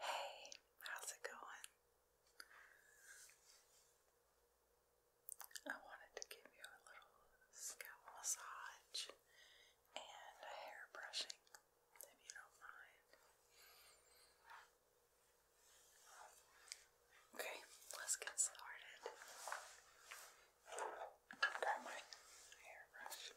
Hey, how's it going? I wanted to give you a little scalp massage and a hair brushing, if you don't mind. Okay, let's get started. Grab my hairbrush.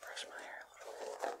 Brush my hair a little bit.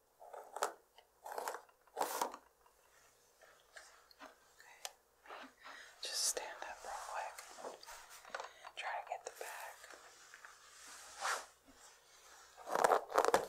Okay. Just stand up real quick. Try to get the back. Okay.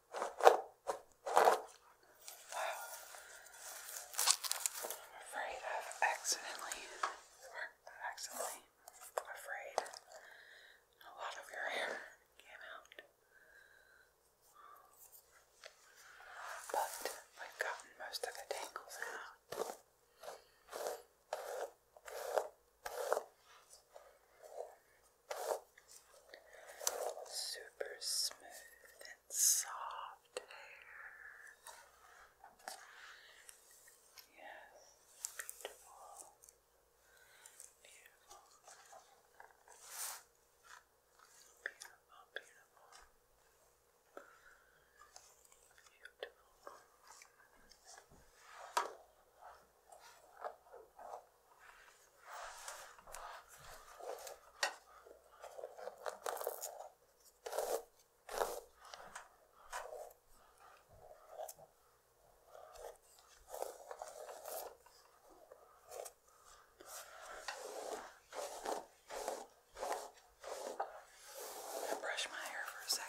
I'm afraid I've accidentally, or accidentally, afraid a lot of your hair came out. But I've gotten most of the tangles out. Super smooth and soft hair. Yes, beautiful. Beautiful. Beautiful, beautiful. Beautiful. I brush my hair for a second.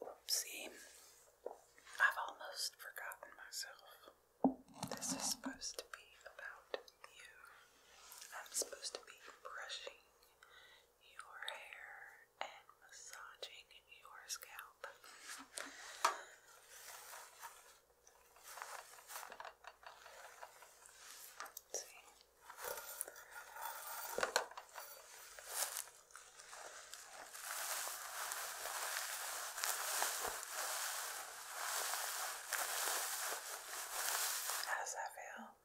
Whoopsie. I've almost forgotten myself. This is supposed to be about you. I'm supposed to be brushing your hair and massaging your scalp. see. How does that feel?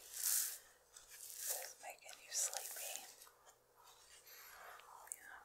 Is making you sleepy? Yeah.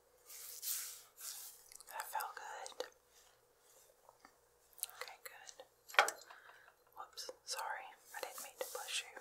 That felt good. Okay, good. Whoops, sorry. I didn't mean to push you.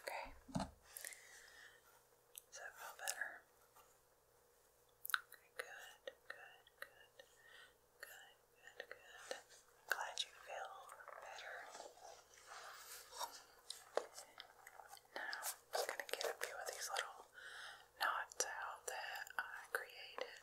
Okay. Does that feel better? Okay, good, good, good, good, good, good. Glad you feel better. Now, I'm going to get a few of these little knots out that I created.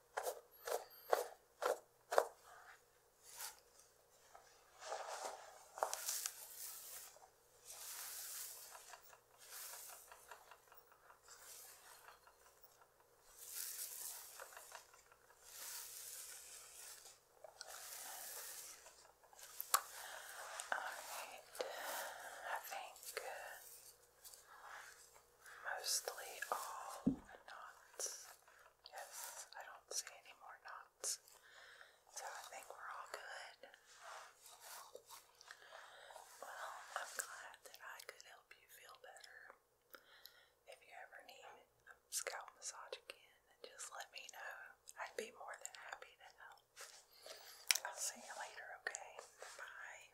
All right, I think uh, Mostly all knots. Yes, I don't see any more knots. So I think we're all good. Well, I'm glad that I could help you feel better. If you ever need a scalp massage again, just let me know. I'd be more than happy to help. I'll see you later, okay? Bye.